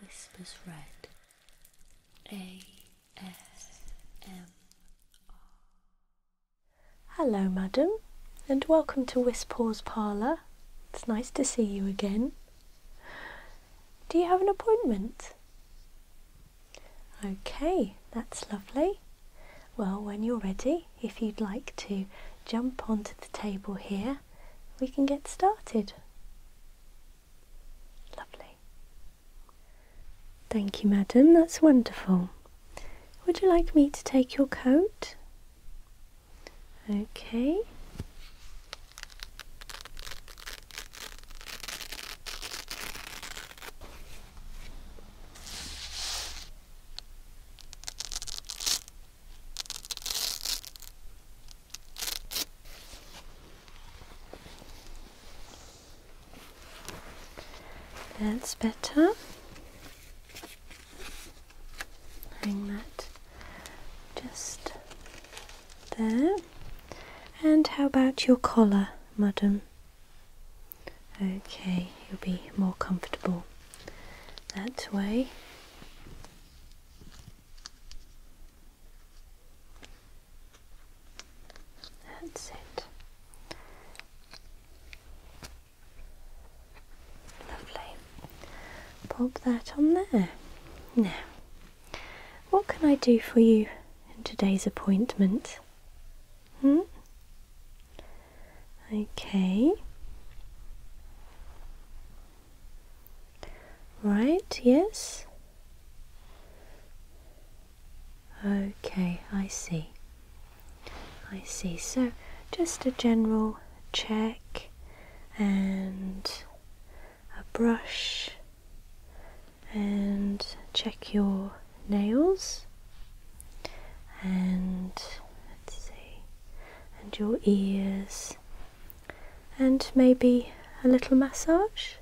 Whispers Red ASMR. Hello, madam, and welcome to Whisper's Parlour. It's nice to see you again. Do you have an appointment? Okay, that's lovely. Well, when you're ready, if you'd like to jump onto the table here we can get started. Lovely. Thank you, madam. That's wonderful. Would you like me to take your coat? Okay. That's better. Hang that just there. And how about your collar, madam? Okay, you'll be more comfortable that way. That's it. Lovely. Pop that on there. Now, what can I do for you in today's appointment? Hmm? Okay. Right, yes? Okay, I see. I see. So, just a general check and a brush and check your nails and let's see and your ears and maybe a little massage?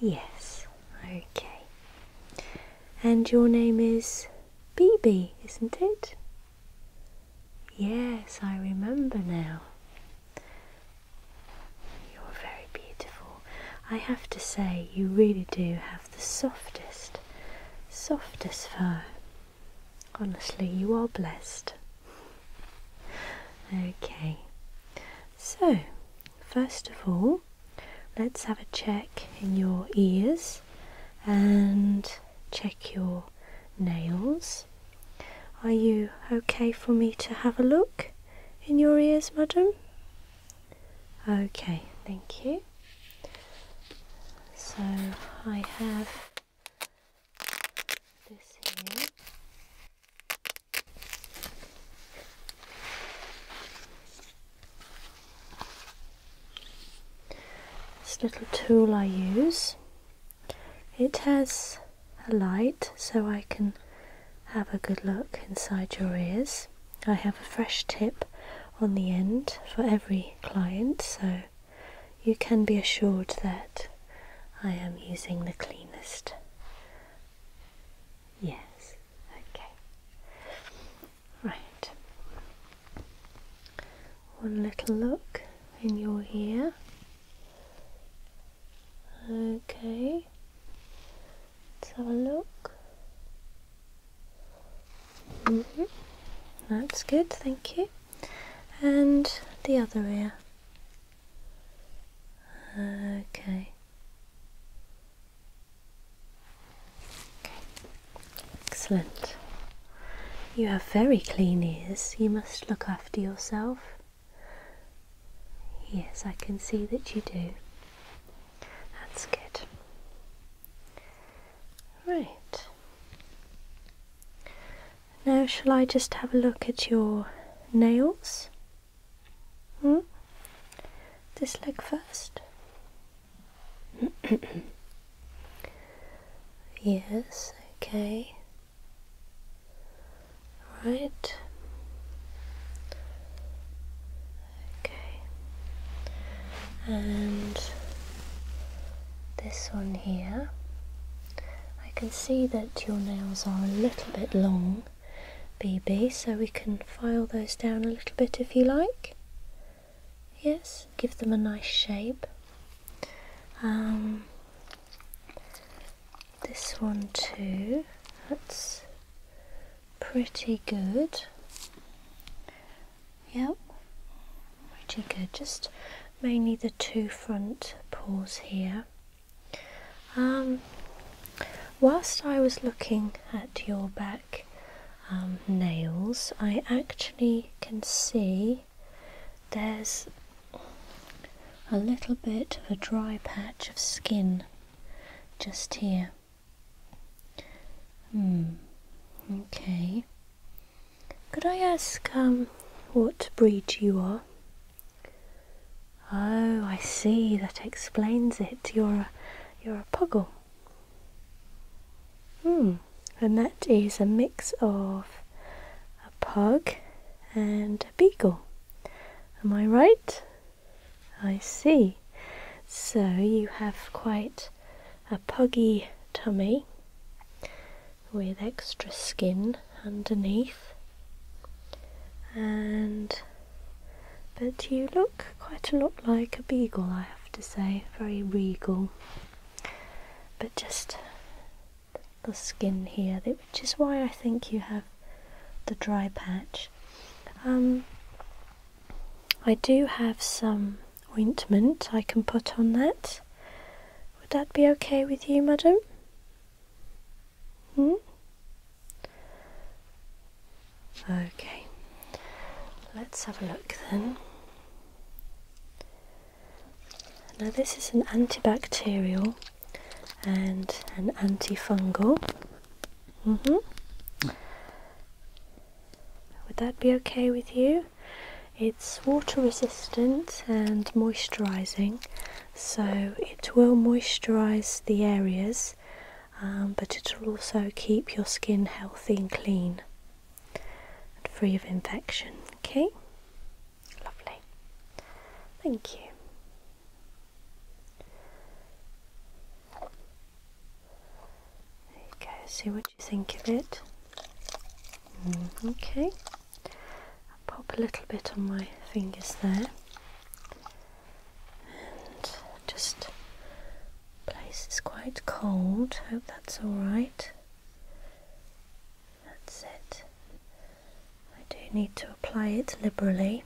Yes, okay. And your name is BB, isn't it? Yes, I remember now. You're very beautiful. I have to say, you really do have the softest, softest fur. Honestly, you are blessed. Okay, so first of all, let's have a check in your ears and check your nails. Are you okay for me to have a look in your ears, madam? Okay, thank you. So I have this little tool I use. It has a light so I can have a good look inside your ears. I have a fresh tip on the end for every client so you can be assured that I am using the cleanest. Yes, okay. Right. One little look in your ear. Okay. Let's have a look. Mm-hmm. That's good, thank you and the other ear. Okay. Excellent. You have very clean ears. You must look after yourself. Yes, I can see that you do. That's good. Right. Now, shall I just have a look at your nails? Hmm? This leg first. yes, okay. Right. Okay. And this one here. I can see that your nails are a little bit long, BB, so we can file those down a little bit if you like. Yes, give them a nice shape. Um, this one too, that's pretty good. Yep, pretty good. Just mainly the two front paws here. Um, whilst I was looking at your back um, nails, I actually can see there's a little bit of a dry patch of skin just here. Hmm, okay. Could I ask um, what breed you are? Oh, I see. That explains it. You're a, you're a puggle. Hmm. And that is a mix of a pug and a beagle. Am I right? I see. So you have quite a puggy tummy with extra skin underneath and but you look quite a lot like a beagle I have to say very regal but just the skin here which is why I think you have the dry patch um, I do have some ointment I can put on that. Would that be okay with you, madam? Hmm? Okay, let's have a look then. Now this is an antibacterial and an antifungal. -hmm. Would that be okay with you? It's water resistant and moisturising, so it will moisturise the areas, um, but it'll also keep your skin healthy and clean and free of infection. Okay, lovely. Thank you. Okay. see what you think of it. Mm, okay, I'll pop a little bit on my fingers there and just place is quite cold, hope that's alright. That's it. I do need to apply it liberally.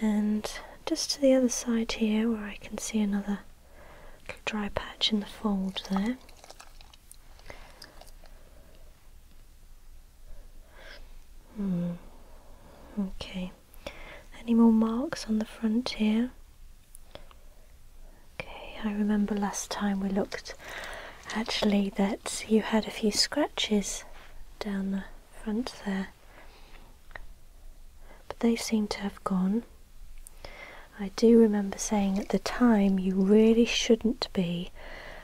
And just to the other side here where I can see another little dry patch in the fold there. Hmm. Okay. Any more marks on the front here? Okay, I remember last time we looked actually that you had a few scratches down the front there but they seem to have gone. I do remember saying at the time you really shouldn't be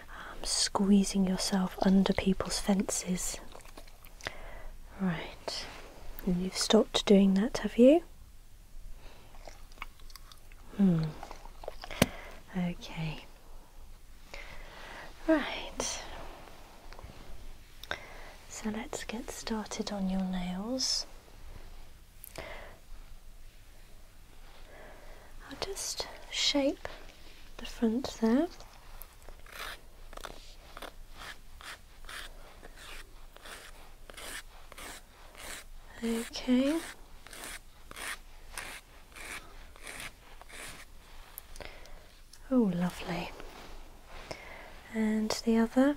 um, squeezing yourself under people's fences. Right, you've stopped doing that, have you? Hmm. Okay. Right. So let's get started on your nails. I'll just shape the front there. Okay. Oh, lovely. And the other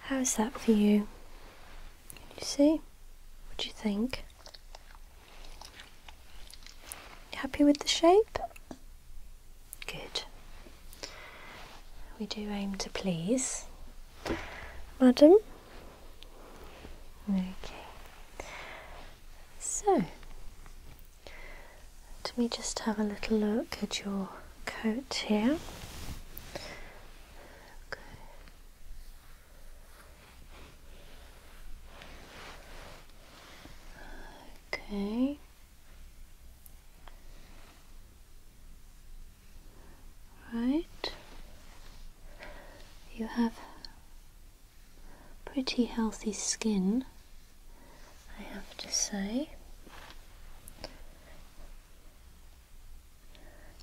How's that for you? Can you see? What do you think? happy with the shape? Good. We do aim to please. Madam? Okay. So, let me just have a little look at your coat here. Okay. Right. You have pretty healthy skin. I have to say.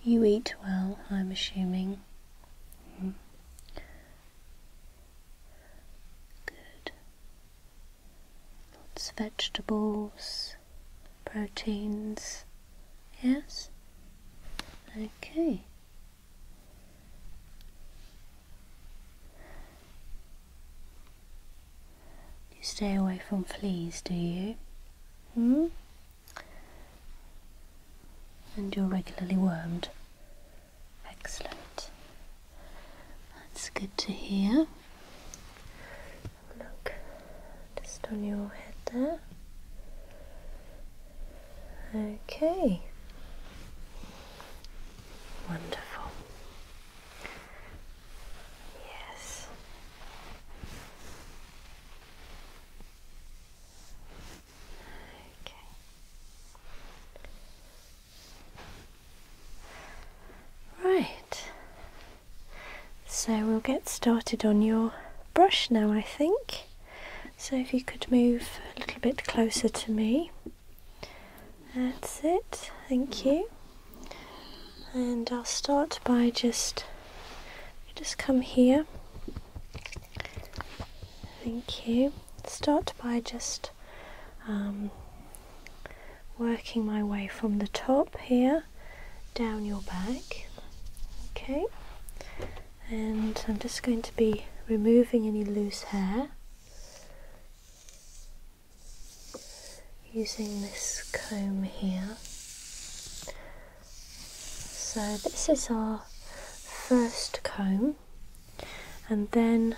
You eat well, I'm assuming. Hmm. Good. Lots of vegetables, proteins. Yes? Okay. You stay away from fleas, do you? Hmm? And you're regularly wormed. Excellent. That's good to hear. Look, just on your head there. Okay. Wonderful. Yes. Okay. Right. So we'll get started on your brush now, I think. So if you could move a little bit closer to me. That's it, thank you. And I'll start by just, just come here. Thank you. Start by just um, working my way from the top here down your back. Okay. And I'm just going to be removing any loose hair using this comb here. So, this is our first comb, and then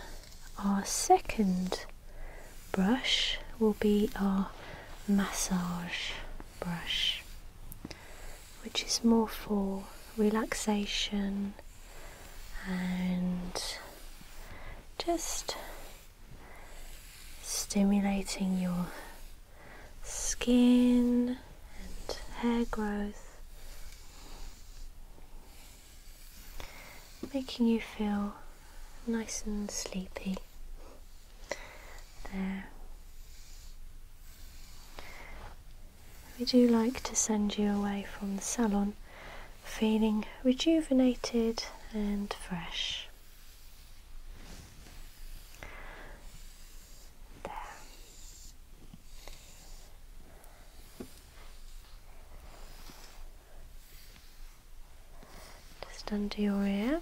our second brush will be our massage brush, which is more for relaxation and just stimulating your skin and hair growth, making you feel nice and sleepy. There. We do like to send you away from the salon feeling rejuvenated and fresh. There. Just under your ear.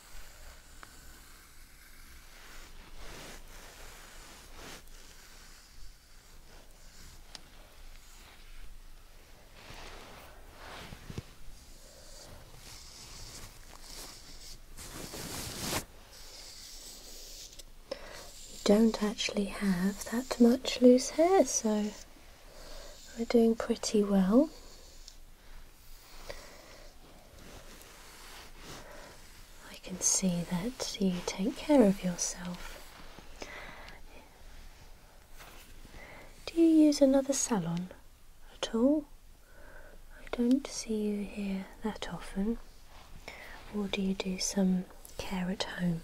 don't actually have that much loose hair so we're doing pretty well I can see that you take care of yourself. Do you use another salon at all? I don't see you here that often. Or do you do some care at home?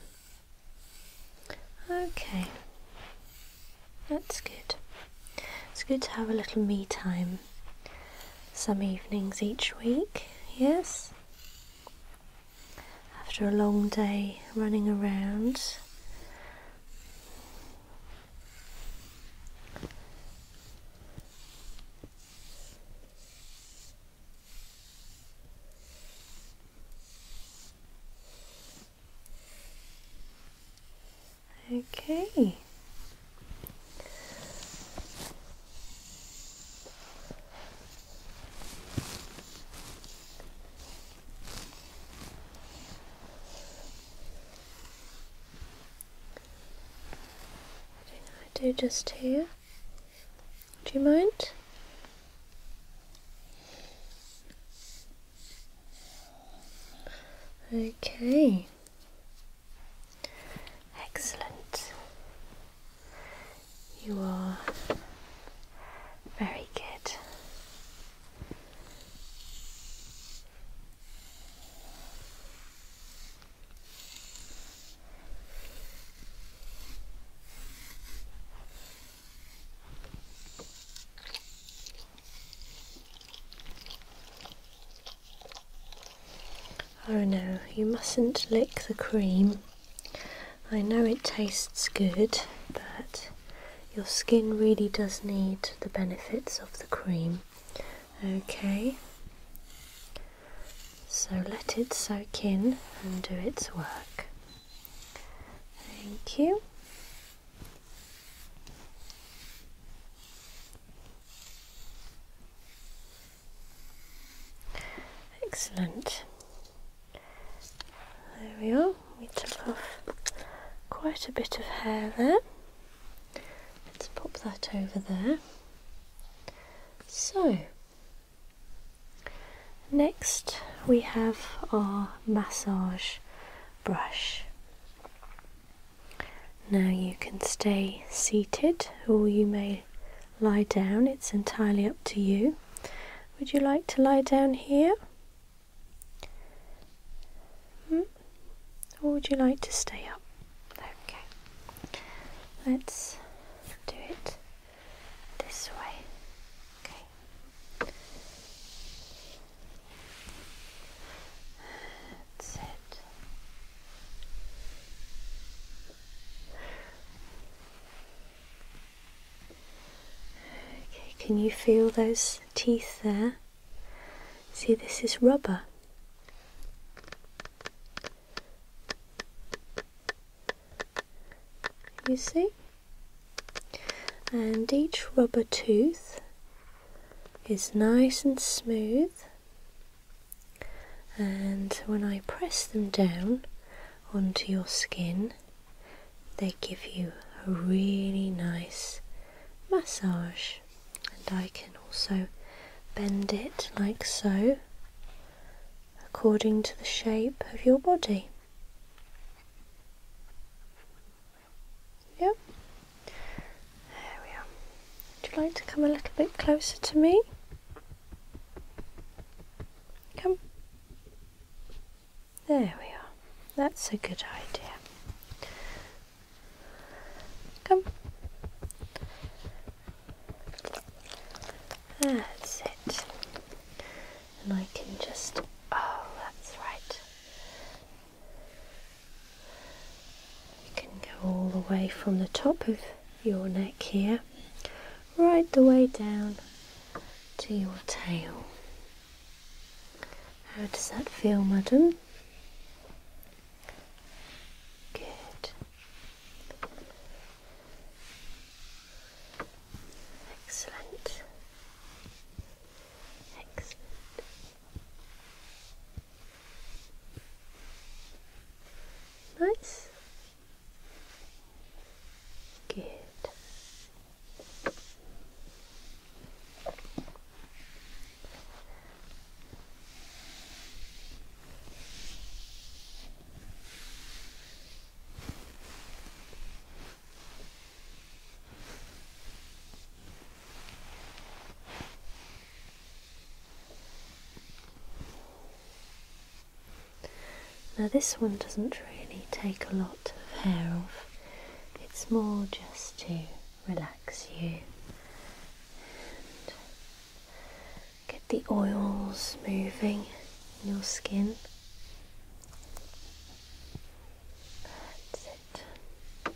Okay. That's good. It's good to have a little me time some evenings each week, yes? After a long day running around. Okay. do just here. Do you mind? Okay. Excellent. You are very good. Oh no, you mustn't lick the cream. I know it tastes good, but your skin really does need the benefits of the cream. Okay, so let it soak in and do its work. Thank you. Excellent. There we are. We took off quite a bit of hair there. Let's pop that over there. So, next we have our massage brush. Now you can stay seated or you may lie down, it's entirely up to you. Would you like to lie down here? Hmm? Or would you like to stay up? Okay, let's do it this way. Okay, that's Okay, can you feel those teeth there? See, this is rubber. You see? and each rubber tooth is nice and smooth and when I press them down onto your skin they give you a really nice massage and I can also bend it like so according to the shape of your body. Yep. There we are. Would you like to come a little bit closer to me? Come. There we are. That's a good idea. Come. That's it. And I can just. Oh, that's right. You can go all the way from the top of your neck here, right the way down to your tail. How does that feel, madam? Good. Excellent. Excellent. Nice. Good. Now, this one doesn't really take a lot of hair off, it's more just to relax you and get the oils moving in your skin. You're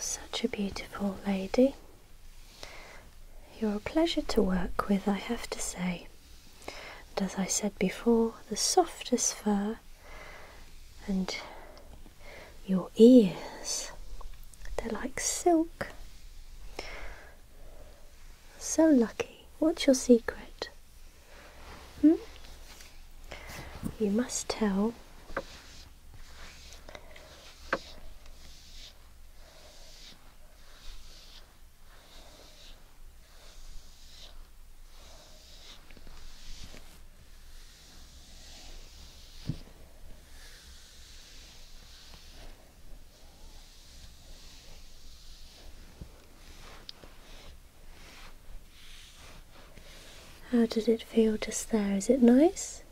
such a beautiful lady. You're a pleasure to work with, I have to say. And as I said before, the softest fur and your ears, they're like silk. So lucky. What's your secret? Hmm? You must tell how did it feel just there? Is it nice?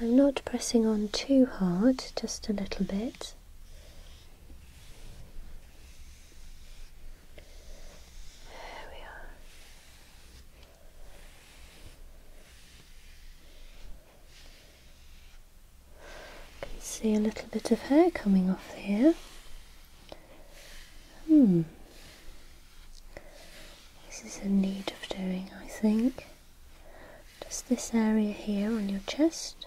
I'm not pressing on too hard, just a little bit. There we are. You can see a little bit of hair coming off here. Hmm. This is in need of doing, I think. Just this area here on your chest.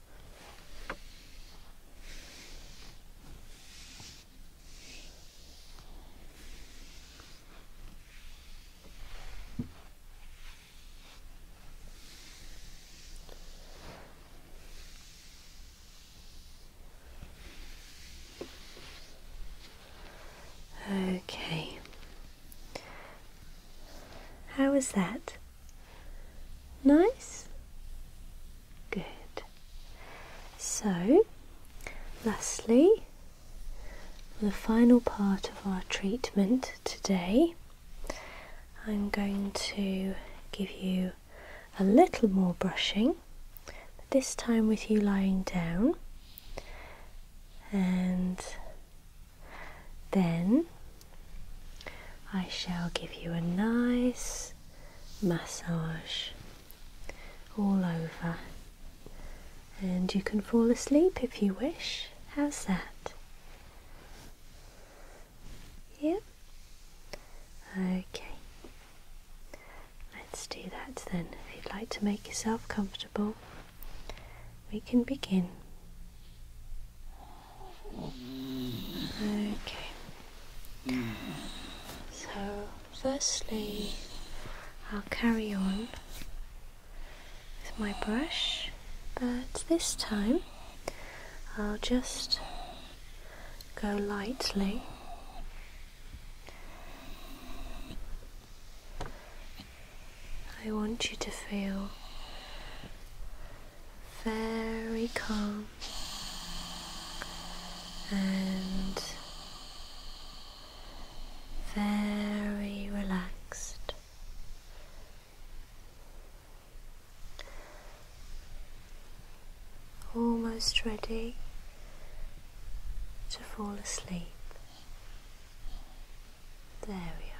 Okay. How was that? Nice? Good. So, lastly, the final part of our treatment today, I'm going to give you a little more brushing, this time with you lying down, and then I shall give you a nice massage all over, and you can fall asleep if you wish. How's that? Yep. Okay. Let's do that then. If you'd like to make yourself comfortable, we can begin. Okay. So, firstly, I'll carry on with my brush, but this time I'll just go lightly. I want you to feel very calm and very relaxed. Almost ready to fall asleep. There we are.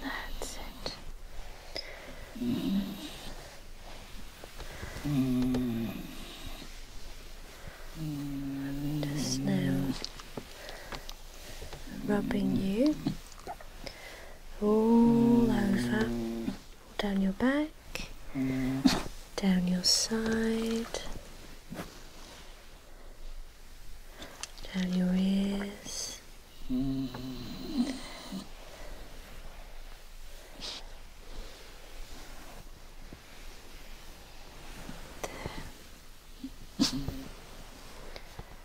That's it. just now rubbing you all over, down your back, down your side, down your ears. There.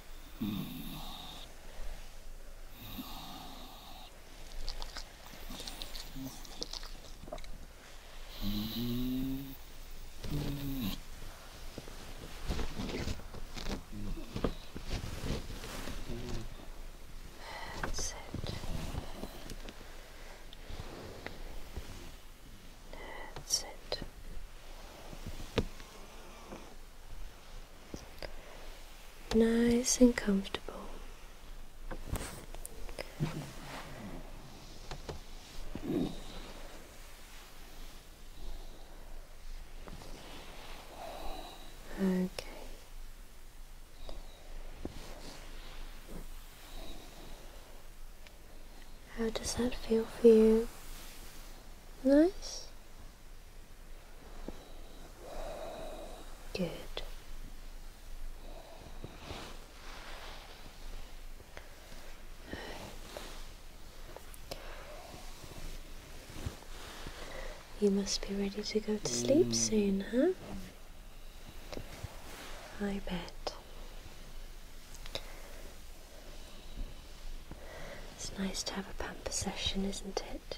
That's it. That's it nice and comfortable. Okay. How does that feel for you? Nice? Good. You must be ready to go to sleep mm. soon, huh? I bet. It's nice to have a pamper session, isn't it?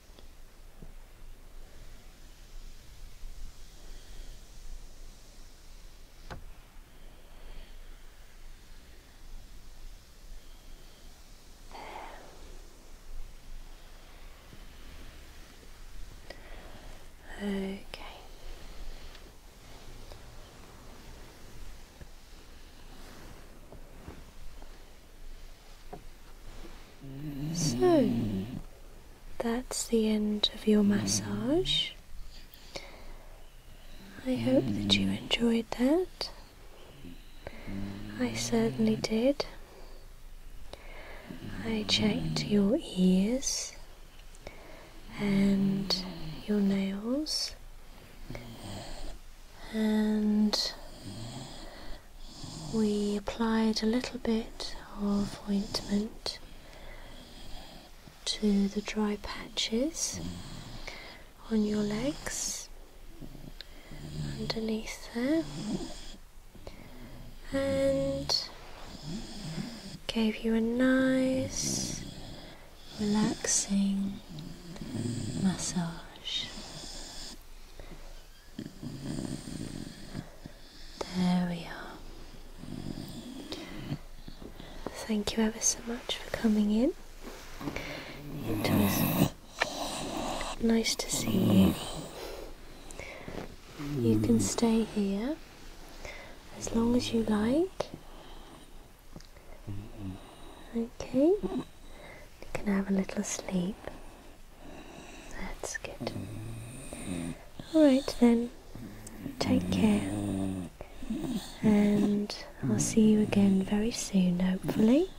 There. Okay. So, that's the end of your massage. I hope that you enjoyed that. I certainly did. I checked your ears and your nails and we applied a little bit of ointment to the dry patches on your legs underneath there and gave you a nice relaxing massage there we are. Thank you ever so much for coming in. It nice to see you. You can stay here as long as you like. Okay? You can have a little sleep. That's good. Alright then, take care. And I'll see you again very soon, hopefully.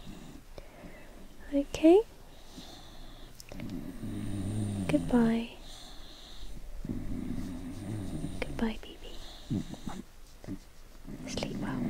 Okay? Goodbye. Goodbye, baby. Sleep well.